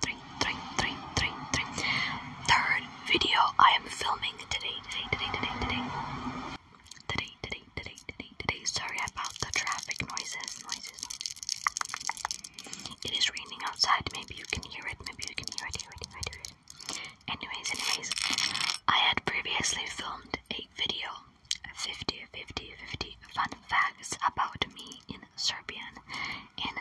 three, three, three, three, three. Third video I am filming today, today, today, today, today. Today, today, today, today, Sorry about the traffic noises, noises. It is raining outside. Maybe you can hear it. Maybe you can hear it, hear it, hear it, Anyways, anyways, I had previously filmed a video 50, 50, 50 fun facts about me in Serbian and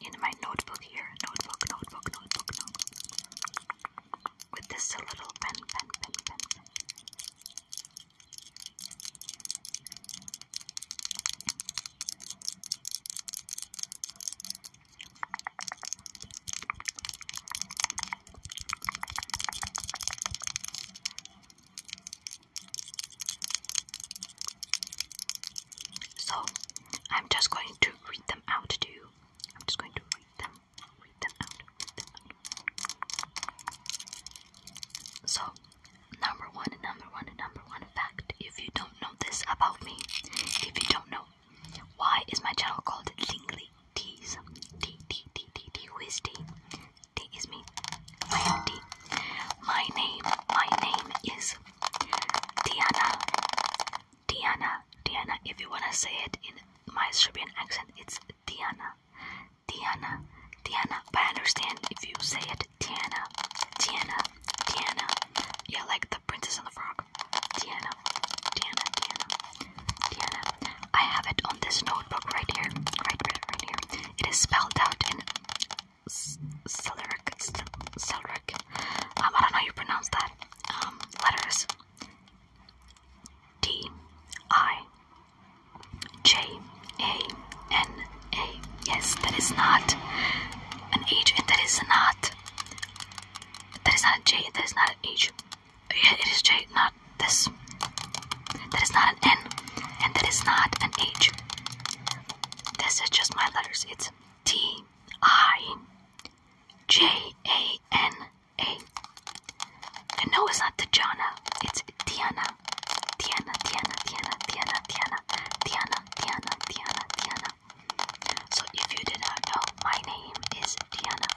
in my notebook here. Notebook, notebook, notebook, notebook. With this little pen, pen, pen, pen, pen. So I'm just going to read them out to you. I'm just going to read them, read them out, read them out. So number one, number one, number one fact. If you don't know this about me, if you don't know, why is my channel called Lingly Teas? T T T T T who is T? T is me. I am T. My name, my name is Diana. Diana, Diana. If you wanna say it in my Serbian accent, it's Diana, Diana, Diana. But I understand if you say it Diana, Diana, Diana. Yeah, like the Princess and the Frog. Diana, Diana, Diana, I have it on this notebook right here, right, right, right here. It is spelled out in Celric, Celric. Um, I don't know how you pronounce that. Um, letters D I J A N A. Yes, that is not an H, and that is not that is not a J. That is not an H. Yeah, it is J, not this. That is not an N, and that is not an H. This is just my letters. It's T I J A N A. And no, it's not Tajana. It's Tiana. Tiana, Tiana, Tiana, Tiana, Tiana, Tiana, Tiana, Tiana, Tiana. So if you did not know, my name is Tiana.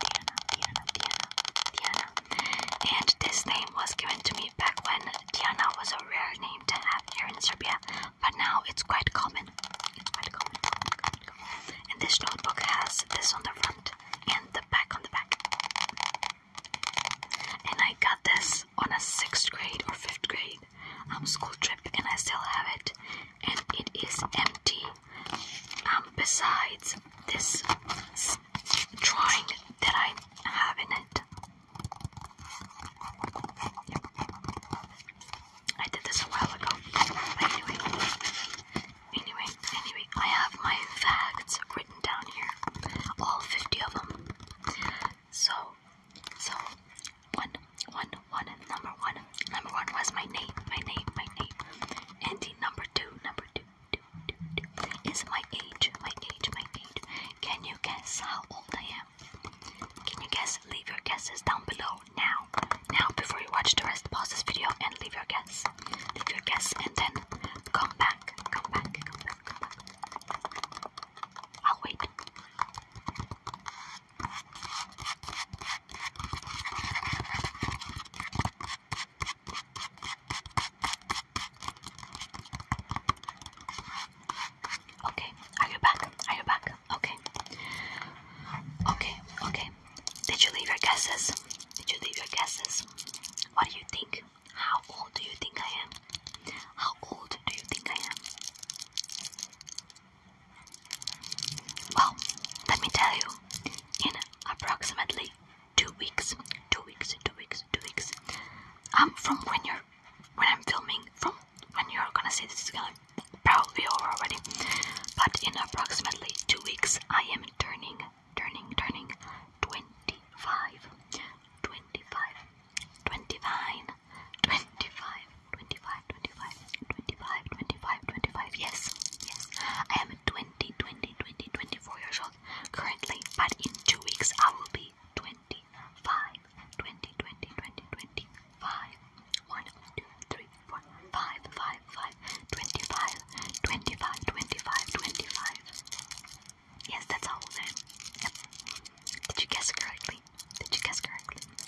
Tiana, Tiana, Tiana, Tiana. And this name was given to me back when Tiana was a rare name to have here in Serbia, but now it's quite common. It's quite common. And this notebook has this on the front and the back on the back. And I got this on a sixth grade or fifth grade um, school trip, and I still have it. And it is empty. Um, besides this drawing that I have in it, I did this a while ago. anyway, anyway, anyway, I have my facts written down here, all 50 of them. So, so one, one, one, number one, number one was my name, my name, my name. And the number two, number two, two, two, two is my age, my age, my feet. Can you guess how old I am? Can you guess? Leave your guesses down below now. Now, before you watch the rest, pause this video and leave your guess. Leave your guess and then come back. Come back. Come back. Come back. I'll wait. Okay, are you back? Are you back? Okay. Okay, okay. Did you leave your guesses? Did you leave your guesses? What do you think? How old do you think I am? How old do you think I am? Well, let me tell you. In approximately two weeks, two weeks, two weeks, two weeks. I'm from when you're here when I'm filming from when you're gonna see this is gonna probably be over already. But in approximately two weeks I am turning turning turning 25 25 29 25 25 25 25 25 25 yes yes I am 20 20 20 24 years old currently but in two weeks I will be 25, 20, 20, 20, 25, 1, 2, 3, 4, 5, 5, 5, 25, 25, 25, 25. Yes, that's all of them. Yep. Did you guess correctly? Did you guess correctly? correctly,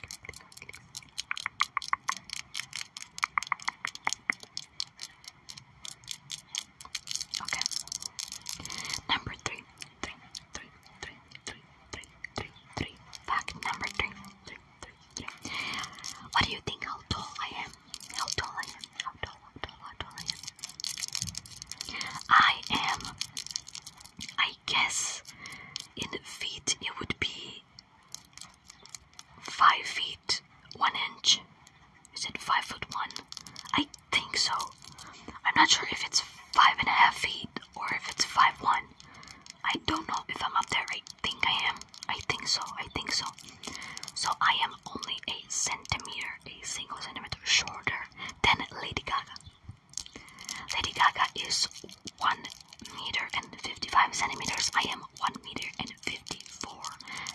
correctly. Okay. Number three. Fact number three, three, three, three. What do you think how tall I am? How tall I am? How tall, how tall, how tall I am? I am, I guess, in feet it would be five feet one inch. Is it five foot one? I think so. I'm not sure if it's five and a half feet or if it's five one. I don't know if I'm up there. I think I am. I think so. I think so. So I am only a centimeter, a single centimeter shorter than Lady Gaga. Lady Gaga is one meter and 55 centimeters. I am one meter and fifty four,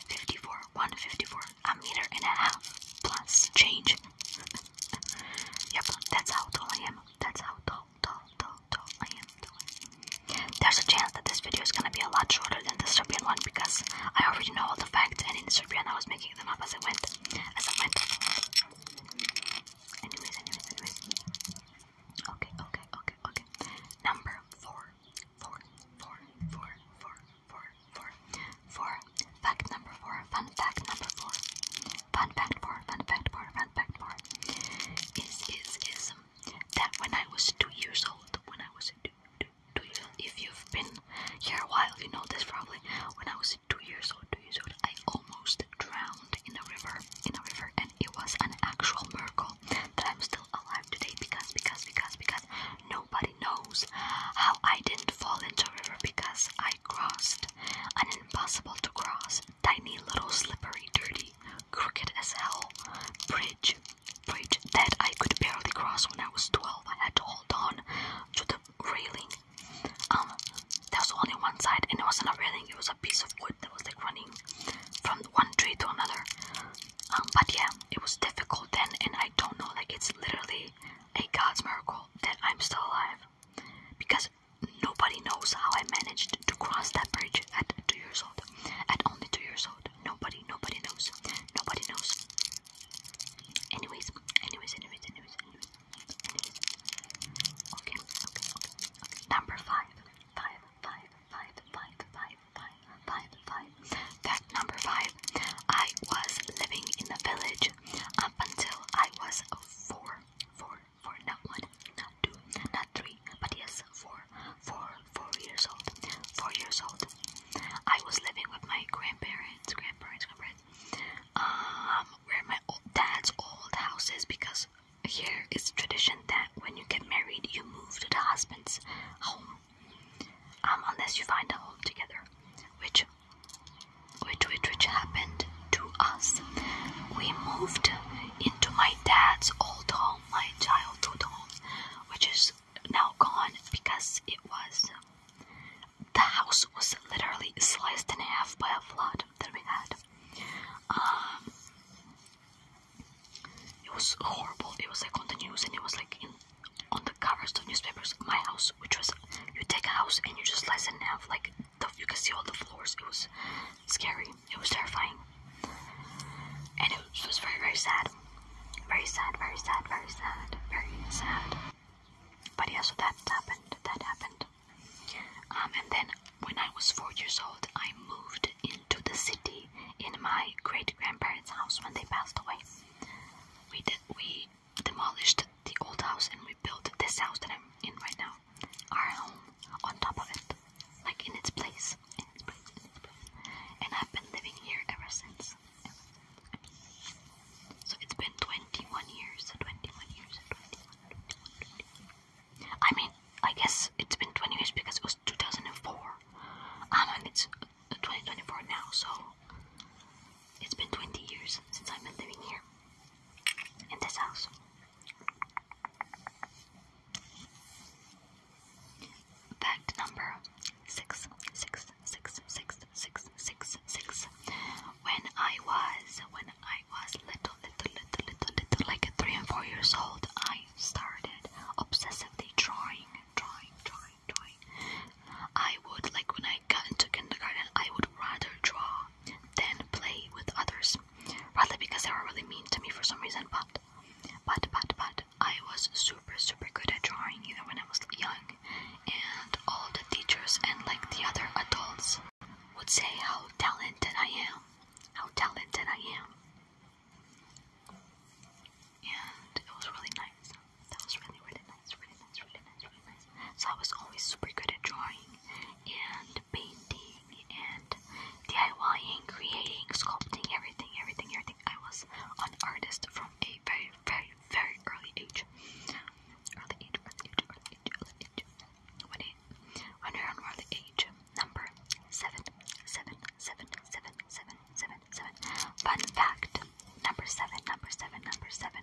fifty 154, a meter and a half plus change yep, that's how tall I am. That's how tall, tall, tall, tall I am. There's a chance that this video is gonna be a lot shorter than the Serbian one because I already know all the facts, and in Serbian I was making them up as I went, as I went. Anyways, anyways, anyways. Okay, okay, okay, okay. Number four, four, four, four, four, four, four, four. Fact number four. Fun fact number four. Fun fact four. Fun fact four. Fun fact four. Is is is that when I was two years old, when I was two, two, two years old, if you've been here a while, you know this probably. When I was two years old, two years old, I almost drowned in a river, in a river, and it was an actual miracle that I'm still alive today because because because because nobody knows how I didn't fall into a river because I crossed an impossible to cross, tiny little slippery, dirty, crooked as hell bridge. Bridge that I could barely cross when I was 12. I had to hold on to the railing. Um, there was only one side, and it wasn't a railing, it was a piece of wood that was like running from one tree to another. Um, but yeah, it was difficult then, and I don't know, like it's literally a God's miracle that I'm still alive because nobody knows how I managed to cross that bridge at two years old. At only two years old. Nobody, nobody knows. Nobody knows. Anyways, anyways, anyways, anyways, anyways. anyways. Okay, okay, okay, okay. Number five. Five, five, five, five, five, five, five, five. Fact number five. I was living in a village age up until I was four, four, four, not one, not two, not three, but yes, four, four, four years old, four years old. I was living with my grandparents, grandparents, grandparents. Um, where my old dad's old house is because here it's tradition that when you get married, you move to the husband's home, um, unless you find a home together, which which which which happened to us. We moved into my dad's old home, my childhood home, which is now gone because it was the house was literally sliced in half by a flood that we had. Um, it was horrible. It was like on the news, and it was like on the covers of newspapers. My house, which was you take a house and you just slice it in half, like you can see all the floors. It was scary. It was terrifying, and it was, it was very, very sad. Very sad. Very sad. Very sad. Very sad. But yeah, so that happened. That happened. Um, and then when I was four years old, I moved into the city in my great grandparents' house when they passed away. We did, we demolished the old house and rebuilt this house that I'm in right now. Our home on top of it. Like in its place. And I've been living here ever since. So it's been 21 years. 21 years. 21, I mean, I guess it's been 20 years because it was 2004. Um, and ah, it's 2024 now, so it's been 20 years since I've been living here in this house. Fact number six, six, six, six, six, six, six. When I was, when I was little, little, little, little, little, like three and four years old, I started obsessively drawing, drawing, drawing. I would, like when I got into kindergarten, I would rather draw than play with others. Probably because they were really mean to me for some reason, but, but, but, but, I was super, super good at drawing even when I was young. And all the teachers and like the other adults would say how talented I am, how talented I am. And it was really nice that was really, really nice, really nice, really nice, really nice. So I was always super good at drawing and painting and DIYing, creating, sculpting, everything, everything, everything. I was an artist from a very, very, very early age. Early age, early age, early age, early age. When, it, when you're on early age, number seven, seven, seven, seven, seven, seven, seven. Fun fact, number seven, number seven, number seven.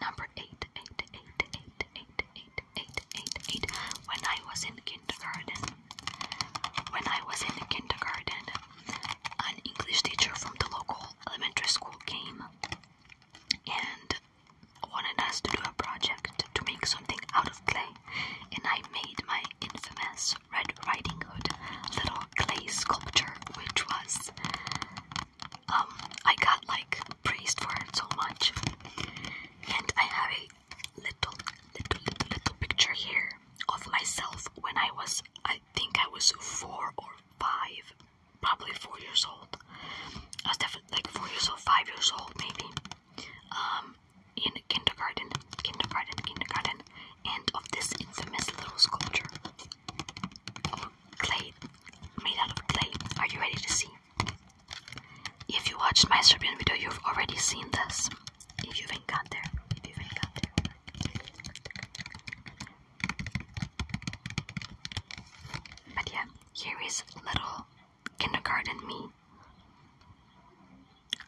number eight, eight, eight, eight, eight, eight, eight, eight, eight. When I was in kindergarten, when I was in kindergarten, an English teacher from the local elementary school came and wanted us to do a project to make something out of clay, and I made my infamous Red Riding Hood little clay sculpture, which was um I got like praised for it so much, and I have a little little little little picture here of myself when I was I think I was four or five, probably four years old. I was definitely like four years old, five years old maybe. Um, in kindergarten, kindergarten, kindergarten, and of this infamous little sculpture. Clay, made out of clay. Are you ready to see? If you watched my Serbian video, you've already seen this. If you haven't got there, if you haven't got there. But yeah, here is little kindergarten me.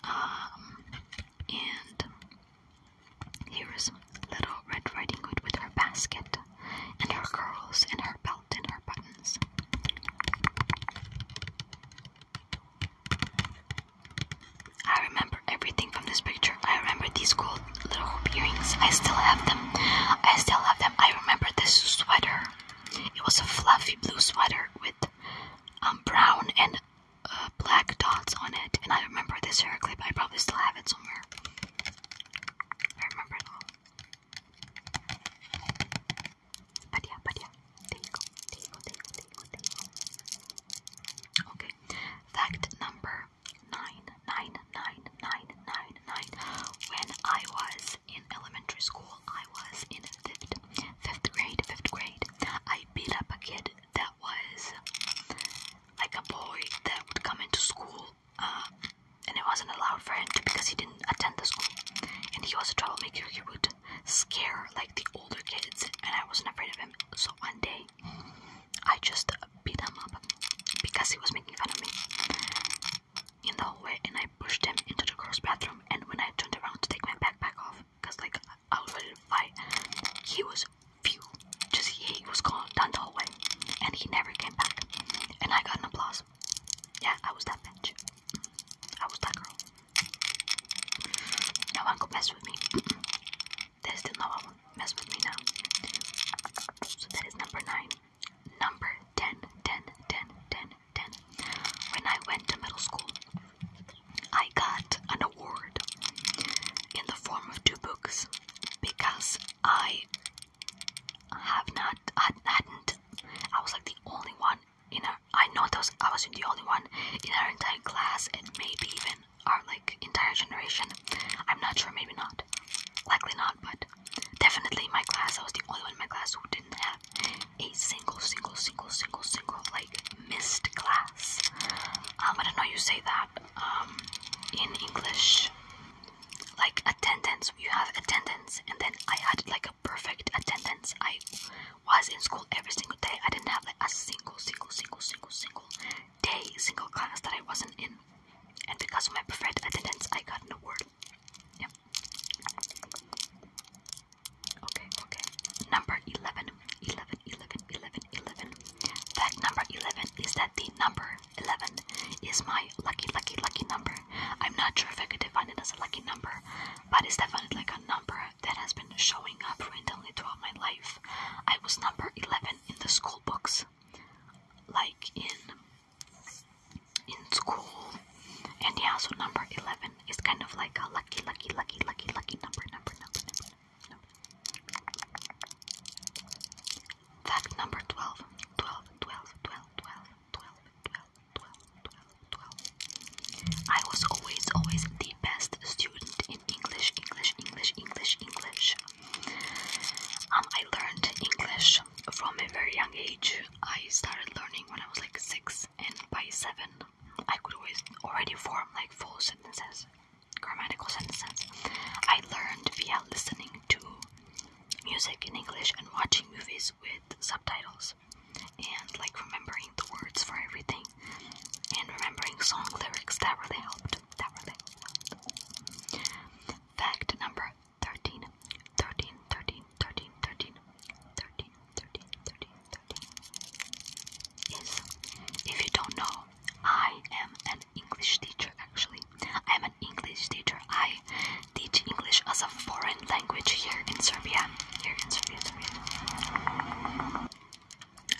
Um, and here is little Red Riding Hood with her basket and her curls and her belt and her buttons. I remember everything from this picture. I remember these gold little hoop earrings. I still have them. I still have them. I remember this sweater. It was a fluffy blue sweater with um, brown and uh, black dots on it, and I remember this hair clip. I probably still have it somewhere. I remember it all. But yeah, but yeah, there you go, there you go, there you go, there you go. Okay, fact number nine, nine, nine, nine, nine, nine. When I was in elementary school, I was in fifth, fifth grade, fifth grade. I beat up a kid that was like a boy that would come into school uh, and it wasn't allowed for him to because he didn't attend the school. And he was a troublemaker. He would scare like the older kids, and I wasn't afraid of him. So one day, I just beat him up because he was making fun of me in the hallway, and I pushed him into the girls' bathroom. And when I turned around to take my backpack off, because like I was fight. He was few. Just he was gone down the hallway, and he never came back. And I got an applause. Yeah, I was that bitch. I was that girl. No one could mess with me. There is no one mess with me now. So that is number nine. Number ten, ten, ten, ten, ten. When I went to middle school, I got an award in the form of two books because I have not I hadn't I was like the only one in our I know that was, I wasn't the only one in our entire class and maybe even our like entire generation. I'm not sure, maybe not. Likely not, but definitely my class I was the only one in my class who didn't have a single, single, single, single, single like missed class. Um, I don't know you say that um, in English. Like attendance, you have attendance, and then I had like a perfect attendance. I was in school every single day. I didn't have like a single, single, single, single, single day, single class that I wasn't in. And because of my perfect attendance, I got an award. Yep. Okay, okay. Number 11. 11, 11, 11, 11. Fact number 11 is that the number 11 is my lucky, lucky, lucky number. I'm not sure if I could define it as a lucky number, but it's definitely like a number that has been showing up randomly throughout my life. I was number 11 in the school books, like in in school. And yeah, so number 11 is kind of like a lucky, lucky, lucky, lucky, lucky number, number, number, number. Fact number 12. I was always, always the best student in English, English, English, English, English. Um, I learned English from a very young age. I started learning when I was like six, and by seven, I could always already form like full sentences grammatical sentences. I learned via listening to music in English and watching movies with subtitles, and like remembering the words for everything, and remembering song lyrics. That really helped. That really helped. Fact number 13 if you don't know, I am an English teacher actually. I am an English teacher. I teach English as a foreign language here in Serbia. Here in Serbia,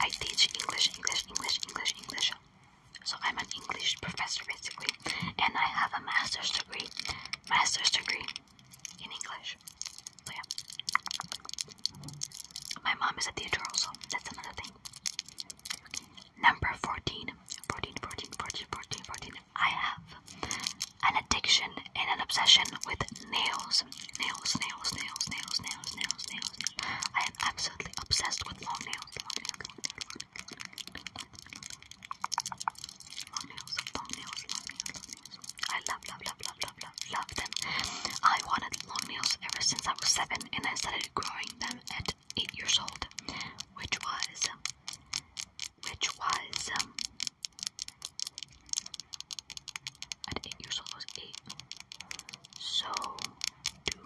I teach English, English, English, English, English. So I'm an English professor basically, and I have a master's degree, master's degree in English. yeah. My mom is a teacher also. That's another thing. Number 14. I have an addiction and an obsession with nails. Nails, nails, nails, nails, nails, nails, nails. I am absolutely obsessed with long nails. nails, nails, nails. nails, long nails, love, love, love, love, love, love, love them. I wanted long nails ever since I was seven, and I started growing them at eight years old, which was, which was, um, at eight years old I was eight. So two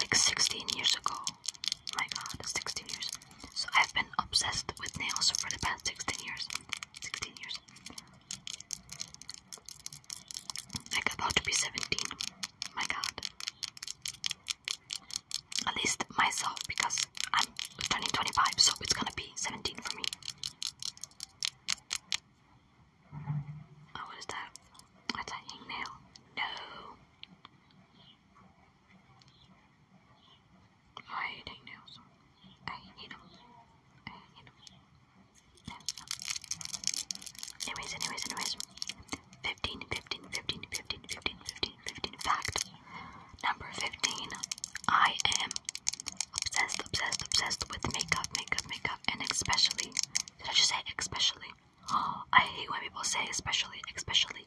like sixteen years ago. My God, sixteen years so I've been obsessed with nails for the past 16 years. 16 years. I'm about to be 17. My god. At least myself because I'm turning 25 so it's gonna be 17 for me. Oh, what is that? That's a hangnail. No. I hate nails. I hate them. I hate them. Anyways, anyways, anyways. 15, 15, 15, 15, 15, 15, 15. Fact number 15. I am obsessed, obsessed, obsessed with makeup, makeup, makeup, and especially. Did I just say especially? Oh, I hate when people say especially, especially,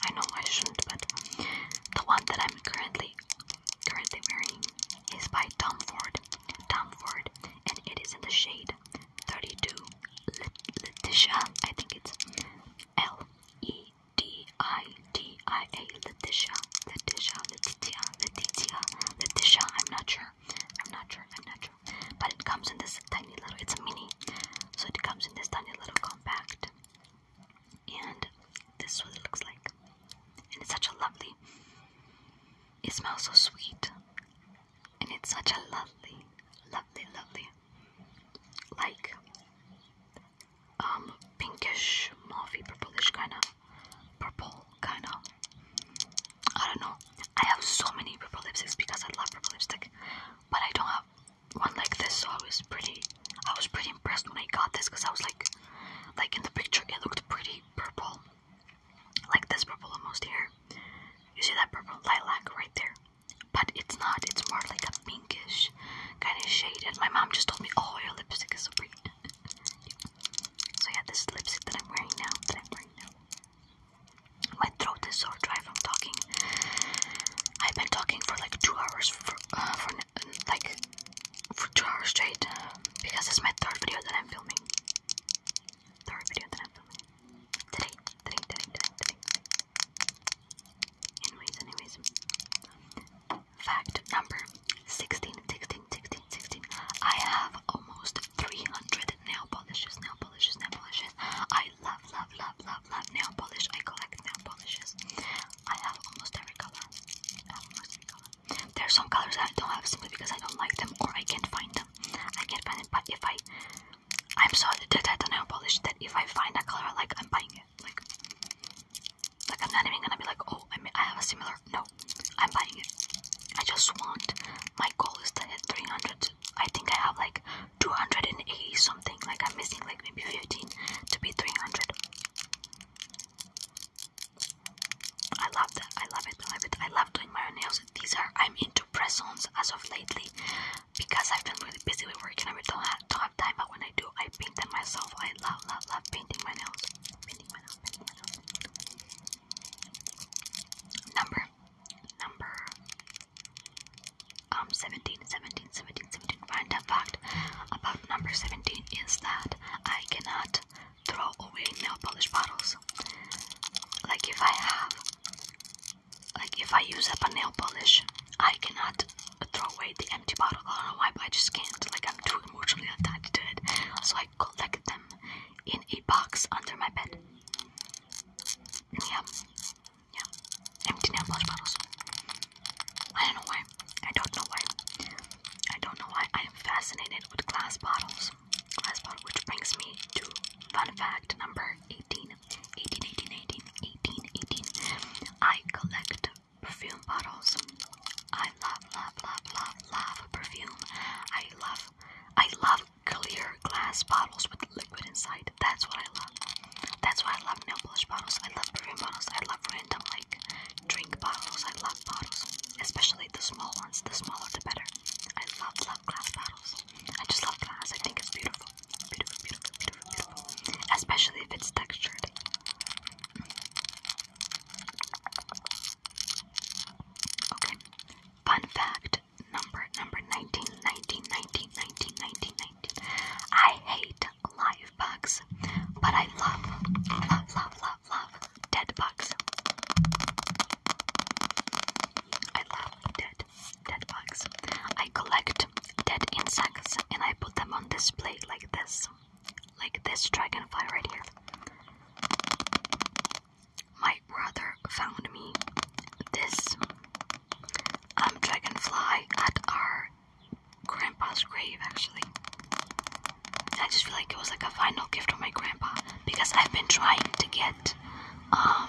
I know I shouldn't, but the one that I'm currently currently wearing is by Tom Ford. Tom Ford, and it is in the shade 32 Letitia. I think it's L E D I D I A Letitia. Letitia, Letitia, Letitia, Letitia. I'm not sure. I'm not sure. I'm not sure. But it comes in this tiny little. It's a mini, so it comes in this tiny little compact and this what it looks like. And it's such a lovely, it smells so sweet. And it's such a lovely, lovely, lovely, like um, pinkish, mauvey, purplish kind of, purple kind of. I don't know. I have so many purple lipsticks because I love purple lipstick, but I don't have one like this, so I was pretty, I was pretty impressed when I got this, because I was like, like in the picture, it looked pretty purple, like this purple almost here, you see that purple lilac right there, but it's not, it's more like a pinkish kind of shade, and my mom just told me, oh, your lipstick is so pretty, so yeah, this lipstick that I'm wearing now, my throat is so dry from talking. I've been talking for like two hours for, uh, for like for two hours straight because it's my third video that I'm filming. Third video that I'm filming today, today, today, today, Anyways, anyways. Fact number 16, I have almost 300 nail polishes, nail polishes, nail polishes. I love, love, love, love love, nail polish. I collect nail polishes. I have almost every color. I have almost every color. There are some colors that I don't have simply because I don't like them or I can't find them. I can't find it, but if I, I'm so addicted to nail polish that if I find a color, like I'm buying it. Like, like I'm not even gonna be like, oh, I mean, I have a similar. No, I'm buying it. I just want. My goal is to hit 300. I think I have like 280 something. Like I'm missing like maybe 15 to be 300. I love that. I love it. I love it. I love doing my own nails. These are I'm into press-ons as of lately because I've been really busy with work and I don't have, don't have time. But when I do, I paint them myself. I love, love, love painting my nails. Painting my nails. Painting my nails. Number, number, um, 17, 17, 17, 17, 17. fact about number 17 is that I cannot throw away nail polish bottles. Like if I have, like if I use up a nail polish, I cannot throw away the empty bottle. I don't know why, but I just can't. Like I'm too emotionally attached to it. So I collect them in a box under my bed. Yeah, yeah empty nail bottles. I don't know why. I don't know why. I don't know why I am fascinated with glass bottles. Glass bottles, which brings me to fun fact number 18. 18, 18, 18, 18, 18. I collect perfume bottles. I love, love, love, love, love perfume. I love, I love clear glass bottles with liquid inside. That's what I love. That's why I love nail polish bottles. I love perfume bottles. I love random like drink bottles. I love bottles, especially the small ones. The smaller, the better. I love love glass bottles. I just love glass. I think it's beautiful, beautiful, beautiful, beautiful, beautiful. Especially if it's textured. Okay. Fun fact number number 19, I hate live bugs, but I love, love, love, love, love dead bugs. I love dead, dead bugs. I collect dead insects and I put them on display like this, like this dragonfly right here. My brother found me this um, dragonfly at our grandpa's grave actually. I just feel like it was like a final gift from my grandpa because I've been trying to get um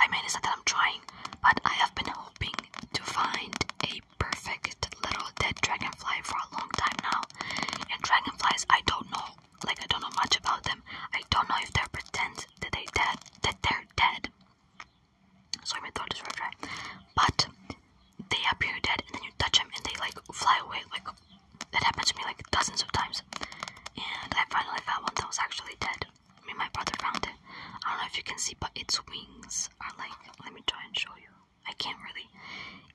I mean it's not that I'm trying, but I have been hoping to find a perfect little dead dragonfly for a long time now. And dragonflies I don't know like I don't know much about them. I don't know if they're pretend that they dead that they're dead. Sorry, my throat is rough, right? But they appear dead, and then you touch them, and they like fly away. Like that happens to me like dozens of times. And I finally found one that was actually dead. I mean, my brother found it. I don't know if you can see, but its wings are like. Let me try and show you. I can't really.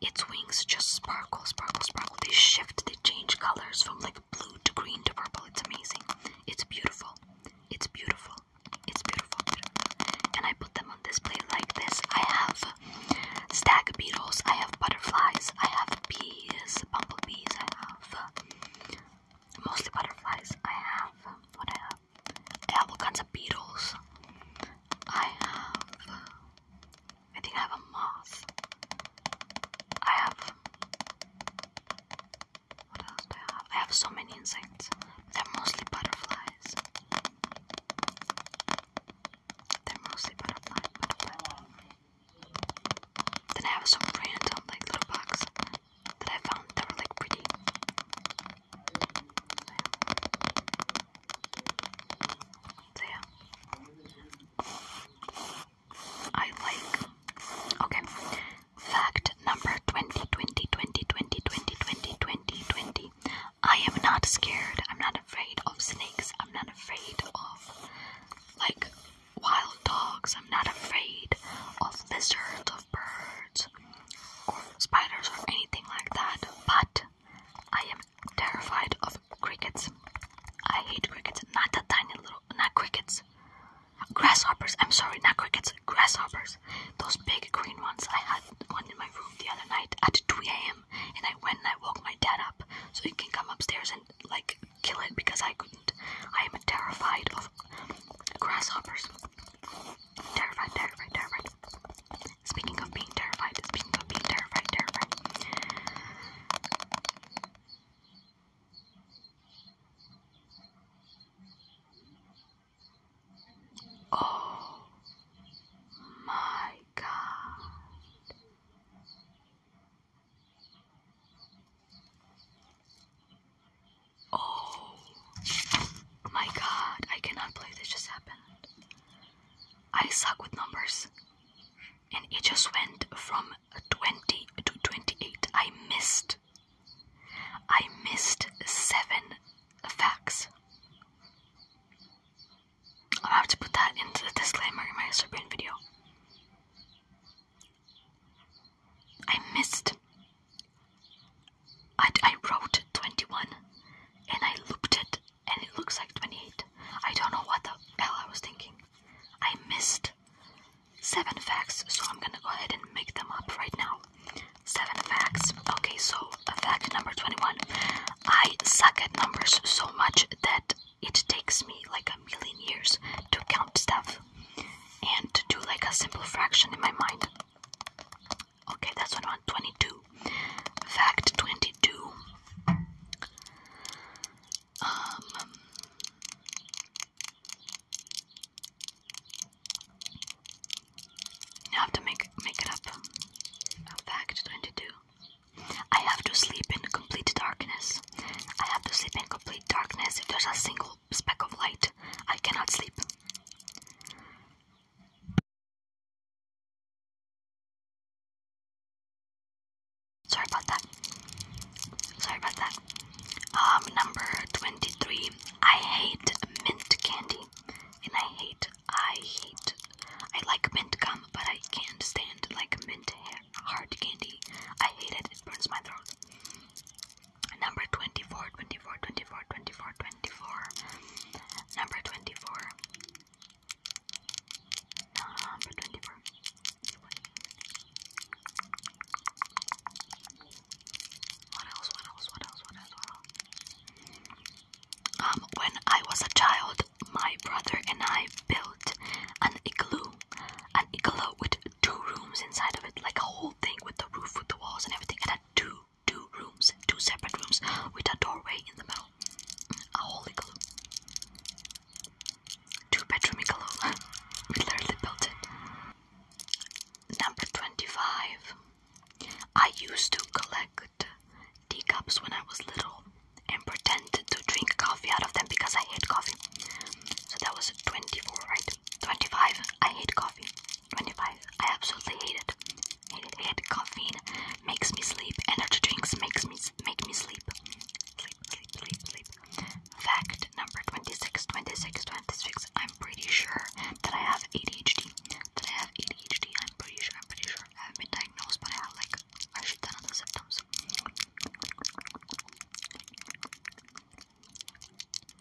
Its wings just sparkle, sparkle, sparkle. They shift, they change colors from like blue to green to purple. It's amazing. It's beautiful. It's beautiful. It's beautiful, beautiful. I put them on display like this. I have stag beetles, I have butterflies, I have bees, bumblebees, I have mostly butterflies. I have what I have. I have all kinds of beetles. I have I think I have a moth. I have what else do I have? I have so many insects. They're mostly butterflies. They're mostly butterfly, Then I have some random like little bugs that I found that were like pretty. So yeah. I like. Okay. Fact number 20 I am not scared. I'm not afraid of snakes. I'm not afraid of like wild dogs. I'm not afraid of lizards, of birds, or spiders, or anything like that. But I am terrified of crickets. I hate crickets. Not the tiny little, not crickets. Grasshoppers. I'm sorry, not crickets. Grasshoppers. Those big green ones. I had one in my room the other night at 2 a.m. and I went and I woke my dad up so he can come upstairs and like kill it because I couldn't. I am terrified of grasshoppers. Terrified, terrified, terrified. Speaking of being terrified, speaking of being terrified, terrified. Oh my God. Oh my God, I cannot believe this just happened. I suck with numbers. And it just went from 20 to 28. I missed I missed seven facts. i have to put that into the disclaimer in my Serbian video. I missed. I, I wrote 21 and I looped it and it looks like 28. I don't know what the hell I was thinking. I missed seven facts, so I'm gonna go ahead and make them up right now. Seven facts. Okay, so fact number 21. I suck at numbers so much that it takes me like a million years to count stuff and to do like a simple fraction in my mind. Okay, that's one. 22. Fact 22. Um, I have to make make it up. fact twenty-two. I have to sleep in complete darkness. I have to sleep in complete darkness. If there's a single speck of light, I cannot sleep. Sorry about that. Sorry about that. Um, number 23. I hate mint candy and I hate, I hate, I like mint gum, but I can't stand like mint hard candy. I hate it, it burns my throat. Number 24, 24, 24, 24, Number 24. Number 24 when I was a child, my brother and I built an igloo, an igloo with two rooms inside of it, like a whole thing with the roof, with the walls, and everything. It had two, two rooms, two separate rooms with a doorway in the middle. A whole igloo, two-bedroom igloo. we literally built it. Number twenty-five. I used to collect teacups when I was little and pretended to drink coffee out of them because I hate coffee. So that was 24, right? 25, I hate coffee. 25, I absolutely hate it. Hate it, hate it. Caffeine makes me sleep. Energy drinks makes me make me sleep. Sleep, sleep, sleep, sleep. Fact number 26, 26, 26, I'm pretty sure that I have ADHD. That I have ADHD. I'm pretty sure. I'm pretty sure. I haven't been diagnosed, but I have like actually done other symptoms.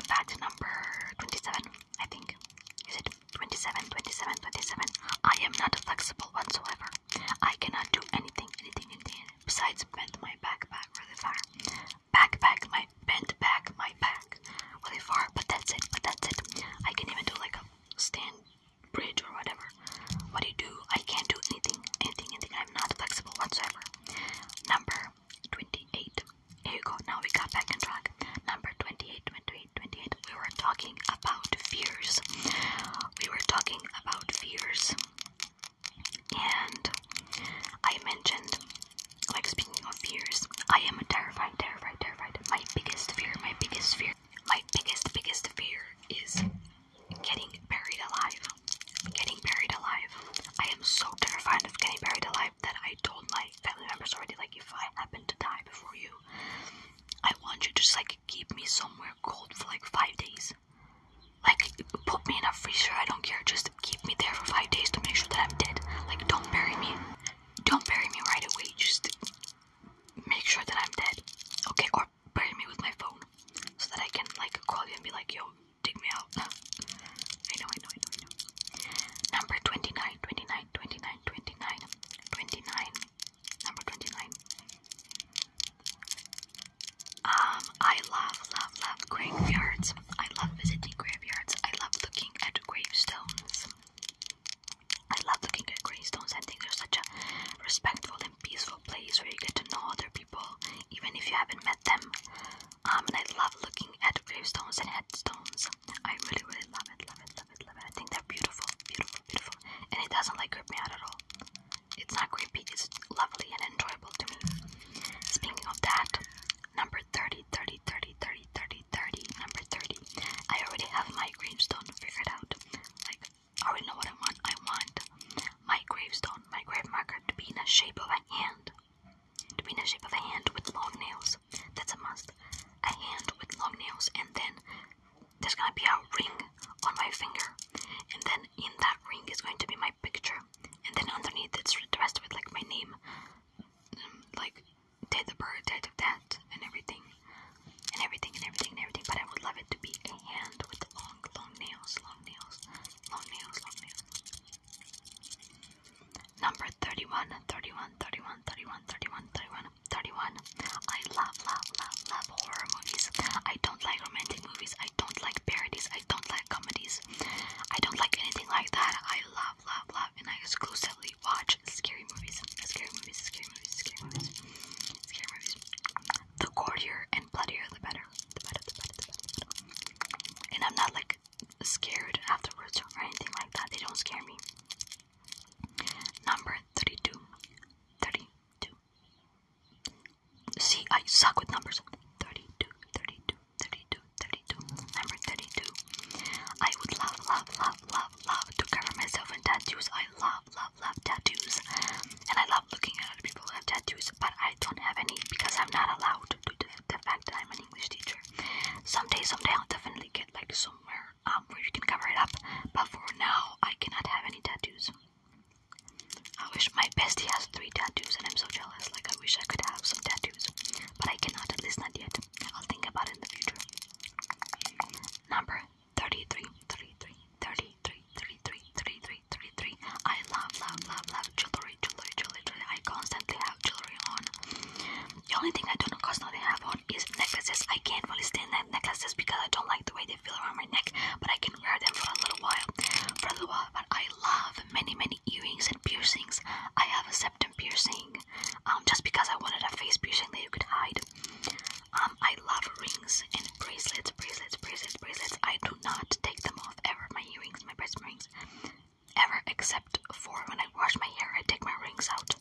Fact number 27, I think. Is it 27, 27, 27? I am not flexible whatsoever. I cannot do anything, anything, anything besides bend my back really far. Back, back, my bent back, my back really far, but that's it, but that's it. I can even do like a stand bridge or whatever. What do you do? I can't do anything, anything, anything. I'm not flexible whatsoever. Number 28. Here you go. Now we got back on track. Number 28, 28, 28. We were talking about fears. We were talking about fears. And I mentioned like speaking of fears, I am terrified, terrified, terrified. My biggest fear, my biggest fear, my biggest, biggest fear is getting buried alive. Getting buried alive. I am so terrified of getting buried alive that I told my family members already, like, if I happen to die before you, I want you to just like keep me somewhere cold for like five days. Like, put me in a freezer, I don't care, just keep me there for five days to make sure that I'm dead. Like, don't bury me don't bury me right away. Just make sure that I'm dead, okay? Or bury me with my phone so that I can like call you and be like, yo, dig me out. I know, I know, I know, I know. Number 29, 29, 29, 29, 29. Number 29. Um, I love, love, love graveyards. I love visiting graveyards. I love looking at gravestones. I love looking at gravestones. I think they're such a respectful and peaceful place where you get to know other people, even if you haven't met them. Um, and I love looking at gravestones and headstones. I really, really love it, love it, love it, love it. I think they're beautiful, beautiful, beautiful. And it doesn't like creep me out at all. It's not creepy, it's lovely and enjoyable to me. Speaking of that, number number 30, 30, 30, 30, 30, 30, number 30. I already have my gravestone figured out. Like, I already know what I want. I want my gravestone, my grave marker to be in the shape of a hand. To be in the shape of a hand with long nails. That's a must. A hand with long nails, and then there's gonna be a ring on my finger, and then in that ring is going to be my picture, and then underneath it's addressed with like my name, mm, like did the bird, I did that, and everything, and everything, and everything, and everything. But I would love it to be a hand with long, long nails, long nails, long nails, long nails. Number 31, 31, 31, 31, 31, 31, 31. I love, love, love, love horror movies. I don't like romantic movies. I don't like parodies. I don't like comedies. I don't like anything like that. I love love, love, love, and I exclusively watch scary movies, scary movies, scary movies, scary movies, scary movies. The gorier and bloodier, the better, the better, the better, the better. And I'm not like scared afterwards or anything like that. They don't scare me. Number 32. 32. See, I suck with numbers. 32, 32, 32, number 32. I would love, love, love, love, love to cover myself in tattoos. I love, love, love tattoos. And I love looking at other people who have tattoos, but I don't have any because I'm not allowed due to the fact that I'm an English teacher. some day, I'll definitely get like somewhere um, where you can cover it up, but for now I cannot have any tattoos. I wish my bestie has three tattoos and I'm so jealous. Like I wish I could have some tattoos. But I cannot, at least not yet right. I'll think about it in the future. Number 33, 33, 33, 33, 33, 33. I love, love, love, love jewelry, jewelry, jewelry, jewelry. I constantly have jewelry on. The only thing I don't constantly have on is necklaces. I can't really stand that necklaces because I don't like the way they feel around my neck, but I can wear them for a little while. For a little while, but I love many, many earrings and piercings. I have a septum piercing um, just because I wanted a face piercing that you could hide. Um, I love rings and bracelets, bracelets, bracelets, bracelets. I do not take them off ever. My earrings, my bracelet rings, ever except for when I wash my hair. I take my rings out.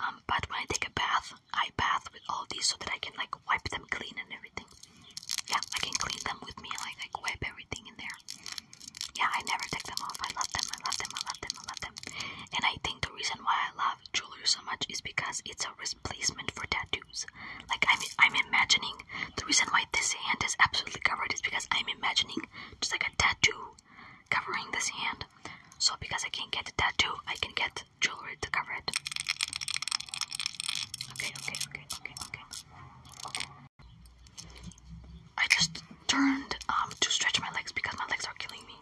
Um, but when I take a bath, I bath with all these so that I can like wipe them clean and everything. Yeah, I can clean them with me. Like, like wipe everything in there. Yeah, I never take them off. I love them. I love them. I love them. I love them. And I think the reason why I love jewelry so much is because it's a replacement for tattoos. Like I'm, I'm imagining the reason why this hand is absolutely covered is because I'm imagining just like a tattoo covering this hand. So because I can't get a tattoo, I can get jewelry to cover it. Okay, okay, okay, okay, okay. I just turned um, to stretch my legs because my legs are killing me.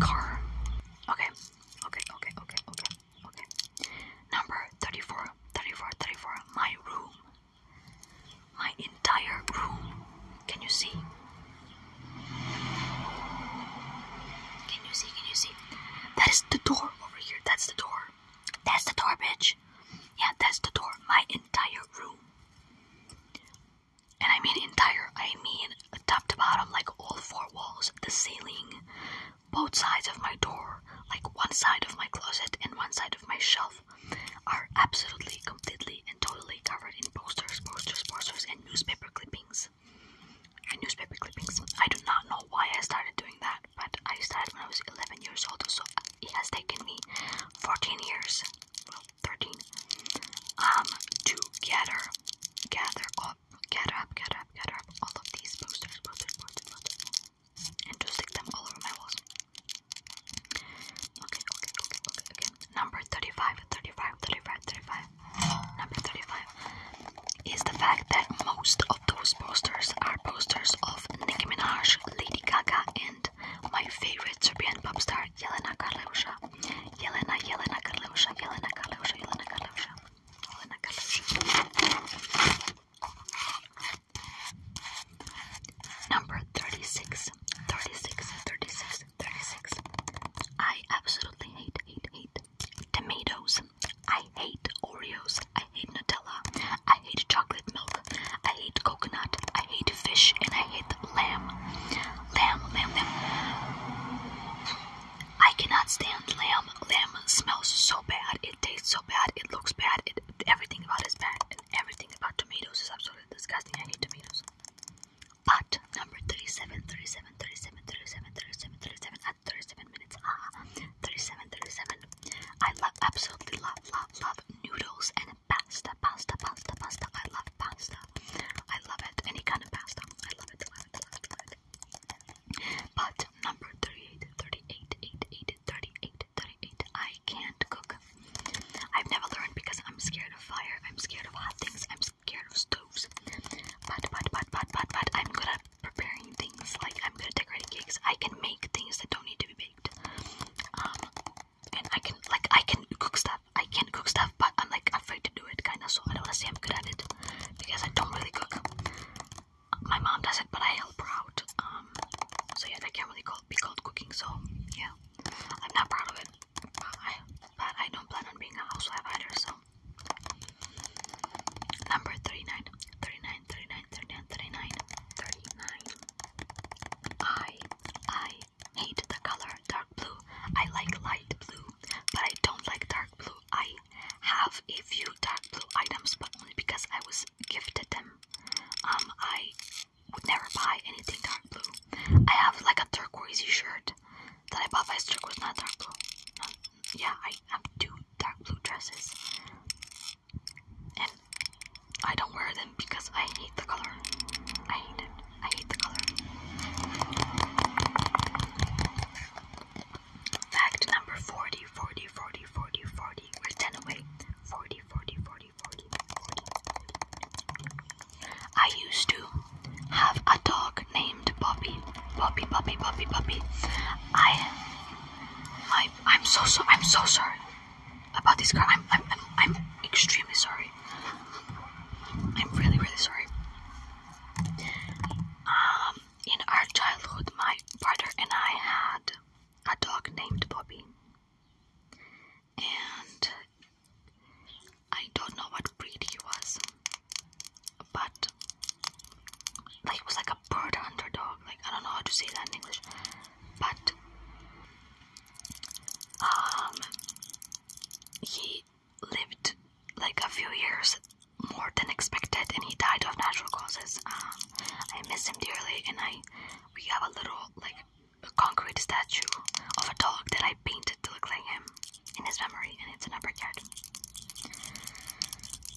Car. Okay. Okay, okay, okay, okay, okay. Number 34, 34, 34. My room. My entire room. Can you see? Can you see? Can you see? That is the door over here. That's the door. That's the door, bitch. Yeah, that's the door of my entire room. And I mean entire, I mean top to bottom, like all four walls, the ceiling, both sides of my door, like one side of my closet and one side of my shelf, are absolutely, completely, and totally covered in posters, posters, posters, and newspaper clippings. newspaper clippings. I do not know why I started doing that, but I started when I was 11 years old, so it has taken me 14 years, well, 13, um, to gather, gather up, gather gather gather up all of these posters, posters, posters, posters, and to stick them all over my walls. Okay, okay, okay, okay, okay. Number 35, 35, 35, 35. Number 35 is the fact that most of those posters are posters of Nicki Minaj, Lady Gaga, and and my favorite Serbian pop star, Jelena Karleuša. Jelena, Jelena Karleuša, Jelena Karleuša, Jelena Karleuša, Jelena Karleuša. Number 36, 36, 36, 36. I absolutely hate, hate, hate tomatoes. I hate Oreos. I hate Nutella. I hate chocolate milk. I hate coconut. I hate fish, and I hate lamb. Lamb, lamb, lamb. I cannot stand lamb. Lamb smells so bad. It tastes so bad. It looks bad. everything about is bad, everything about tomatoes is absolutely disgusting. I hate tomatoes. But number 37, 37, 37, 37, 37, 37 at 37 minutes. Ah, 37, I love, absolutely love, love, love noodles and pasta, pasta, pasta, pasta. I love pasta. I love it. Any kind of pasta. I love it. Love it, love love it. But number 38, I can't cook. I've never learned because I'm scared of fire. I'm scared of hot things. I'm scared of stoves. But, but, but, but, but, but, I'm good at preparing things. Like, I'm good at decorating cakes. I can make things that don't need to be baked. Um, and I can like I can cook stuff. I can cook stuff, but I'm like afraid to do it, kinda. So I don't wanna say I'm good at it because I don't really cook. My mom does it, but I help her out. Um, so yeah, I can't really call, be called cooking. So yeah, I'm not proud of it. I, but I don't plan on being a housewife either. So number 39, 39, I, I hate the color dark blue. I like light blue, but I don't like dark blue. I have a few dark blue items, but only because I was gifted them. Um, I would never buy anything dark blue. I have like a turquoisey shirt that I bought by was not dark blue. yeah, I have two dark blue dresses. And I don't wear them because I hate the color. I hate it. I hate the color. Fact number 40, 40, 40, 40, 40. We're 10 away. 40, 40, 40, 40, 40. I used to have a dog named Bobby. Bobby, Bobby, Bobby, Bobby. I, my, I'm so, so, I'm so sorry about this car. I'm, I'm, I'm, extremely sorry. I'm really, really sorry. Um, in our childhood, my brother and I had a dog named Bobby, and I don't know what breed he was, but like he was like a bird hunter dog. Like I don't know how to say that in English but um he lived like a few years more than expected and he died of natural causes. Um, I miss him dearly and I we have a little like a concrete statue of a dog that I painted to look like him in his memory and it's in a card.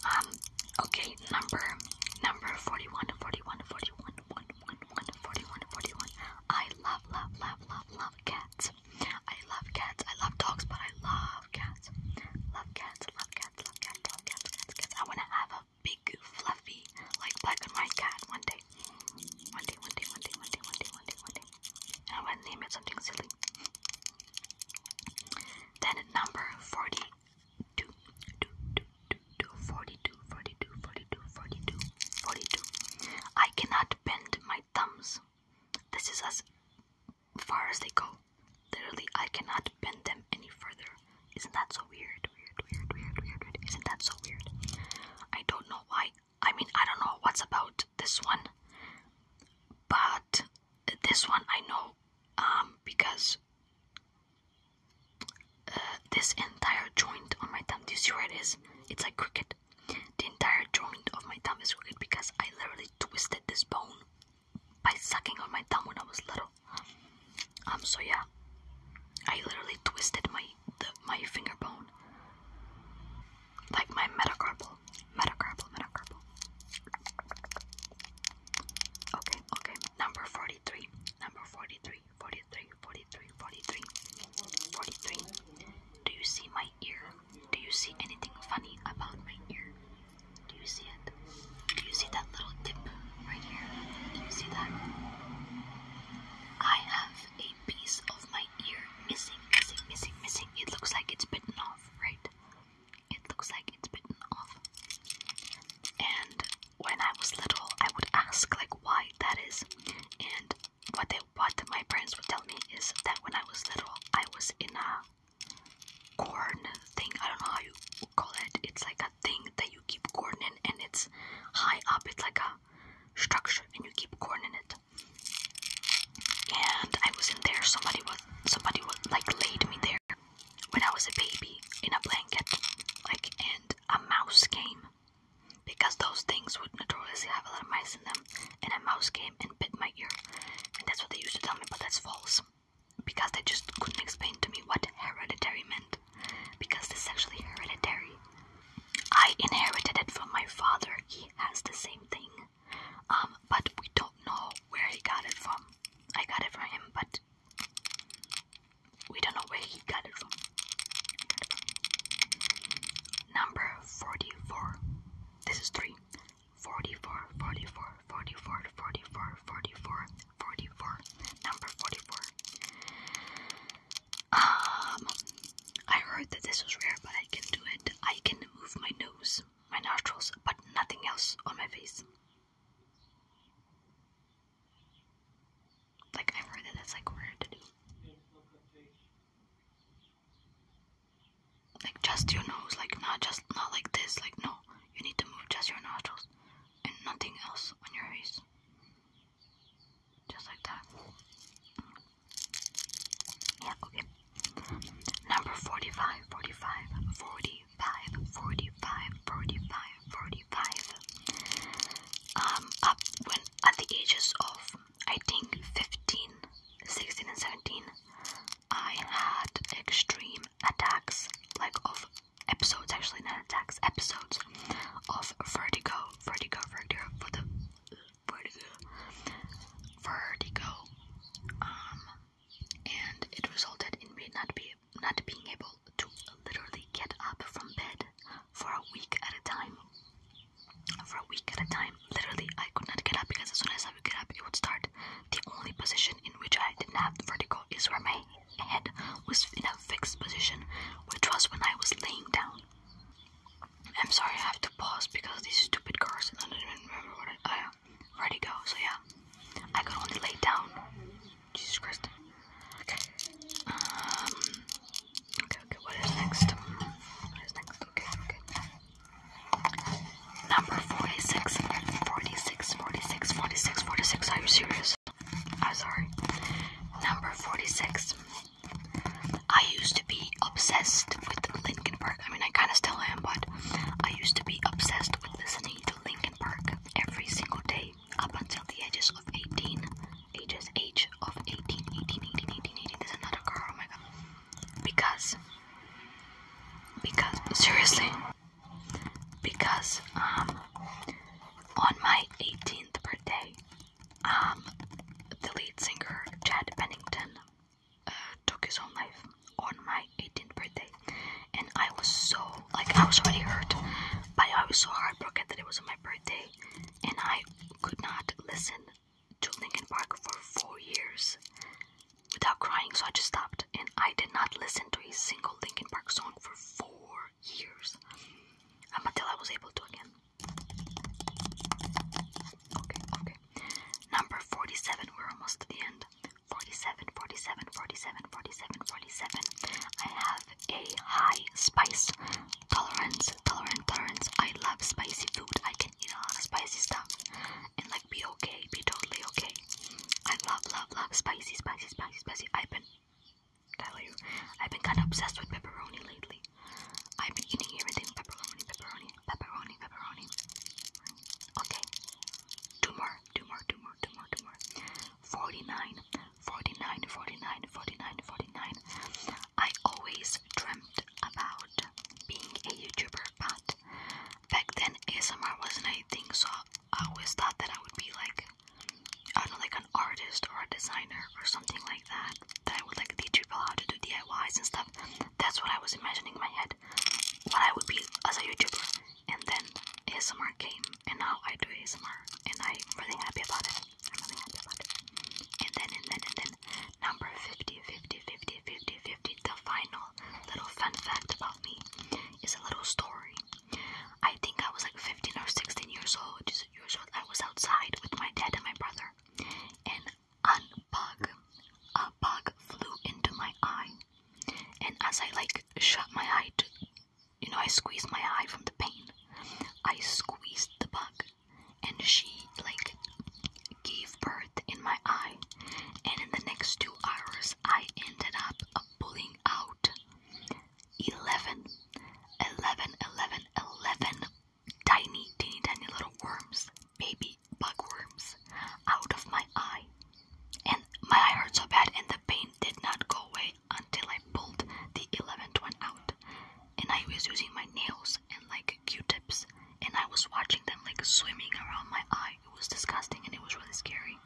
Um okay number number 41 41 41 1 41, 41, 41. I love, love, love, love, love cats. I love cats. I love dogs, but I love cats. Love cats, love cats, love cats, love cats, cats, cats. I want to have a big, fluffy, like black and white cat one day. One day, one day, one day, one day, one day, one day, one day. And I want to name it something silly. Then number 40 two, two, two, two, two, 42, 42, 42, 42, 42. I cannot bend my thumbs. This is as far as they go. Literally, I cannot bend them any further. Isn't that so weird? Weird, weird, weird, weird, weird. Isn't that so weird? I don't know why. I mean, I don't know what's about this one, but this one I know um, because uh, this entire joint on my thumb. Do you see where it is? It's like crooked. The entire joint of my thumb is crooked because I literally twisted this bone by sucking on my thumb when I was little. Um. So yeah, I literally twisted my my finger bone, like my metacarpal, metacarpal, metacarpal. Okay. Okay. Number forty-three. Number forty-three. 43, 43, 43, 43. Do you see my ear? Do you see anything funny about my ear? Do you see it? Do you see that little dip right here? Do you see that? I have a piece of my ear missing, missing, missing, missing. It looks like it's bitten off, right? It looks like it's bitten off. And when I was little, I would ask like why that is, and what they what my parents would tell me is that when I was little, I was in a corn thing. I don't know how you call it. It's like a thing that you keep corn in, and it's high up. It's like a structure, and you keep corn in it. And I was in there. Somebody was somebody was like laid me there when I was a baby in a blanket, like and a mouse game because those things would notoriously have a lot of mice in them, and a mouse came and bit my ear. And that's what they used to tell me, but that's false because they just couldn't explain to me what hereditary meant because this is actually hereditary. I inherited it from my father, he has the same thing, um, but we don't know where he got it from. I got it from him, but we don't know where he got it from. Number 44. This is 3. 44, Number 44. Um, I heard that this was rare, but I can do it. I can move my nose, my nostrils, but nothing else on my face. Like I've heard that that's like weird Like just your nose, like not just not like this, like no. You need to move just your nostrils and nothing else on your face. Just like that. Yeah, okay. Number 45, 45 um, when at the ages of I think 15 and 17 I had extreme attacks like of episodes actually not attacks episodes of vertigo vertigo vertigo vertigo vertigo um and it resulted in me not being not being able to literally get up from bed for a week at a time. For a week at a time, literally, I could not get up because as soon as I would get up, it would start. The only position in which I didn't have vertigo is where my head was in a fixed position, which was when I was laying down. I'm sorry, I have to pause because these stupid cars, I don't even remember what I, ready go. so yeah. I could only lay down Jesus Christ. Okay. Um, okay. Okay. What is next? What is next? Okay. Okay. Number 46, 46, 46, 46, 46. Are you serious? I'm sorry. Number 46. I used to be obsessed with Linkin Park. I mean, I kind of still am, but I used to be obsessed with listening to Linkin Park every single day up until the ages of 18. Ages, age of 18, There's another girl, oh my god. Because, because, seriously, because, um, on my 18th birthday, um, the lead singer, Chad Pennington, uh, took his own life on my 18th birthday. And I was so, like, I was already hurt but I was so heartbroken that it was on my birthday, and I could not listen to Linkin Park for four years without crying. So I just stopped, and I did not listen to a single Linkin Park song for four years um, until I was able to again. Okay, okay. Number forty-seven. We're almost to the end. 47, I have a high spice tolerance. Tolerant, tolerance. I love spicy food. I can eat a lot of spicy stuff and like be okay, be totally okay. I love, love, love spicy, spicy, spicy, spicy. I've been, tell you, I've been kind of obsessed with pepperoni lately. I've been eating everything pepperoni, pepperoni, pepperoni, pepperoni. Okay, two more, two more, two more, two more, two more. Forty nine. 49, I always dreamt about being a YouTuber, but back then ASMR wasn't a thing, so I always thought that I would be like, I don't know, like an artist or a designer or something like that. That I would like teach people how to do DIYs and stuff. That's what I was imagining in my head, what I would be as a YouTuber and then ASMR came, and now I do ASMR, and I'm really happy about it. I'm really happy about it. And then, and then, and then, number 50, 50, 50, 50, 50, the final little fun fact about me is a little story. I think I was like 15 or 16 years old, just years old. I was outside with my dad and my brother, and a bug, a bug flew into my eye. And as I like shut my eye to you know, I squeezed my eye from the pain. I squeezed the bug, and she like gave birth in my eye. And in the next two hours, I ended up pulling out 11, tiny, teeny, tiny little worms, baby bug worms, out of my eye. And my eye hurt so bad, and the pain did not go away until I pulled the 11th one out. And I was using my nails and like q-tips and I was watching them like swimming around my eye. It was disgusting and it was really scary.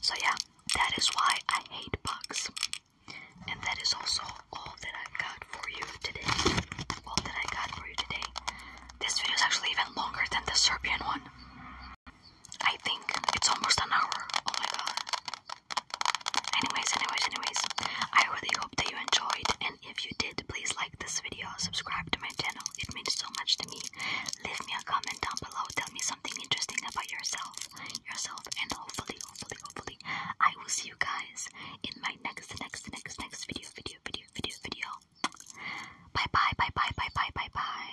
So yeah, that is why I hate bugs. And that is also all that I've got for you today. All that I got for you today. This video is actually even longer than the Serbian one. I think it's almost an hour. Oh my god. Anyways, anyways, anyways. I really hope that you enjoyed. And if you did, please like this video, subscribe to my channel. It means so much to me. Leave me a comment down below. Tell me something interesting about yourself. Yourself and hopefully, hopefully, hopefully. I will see you guys in my next next next next video video video video video. Bye bye bye bye bye bye bye bye.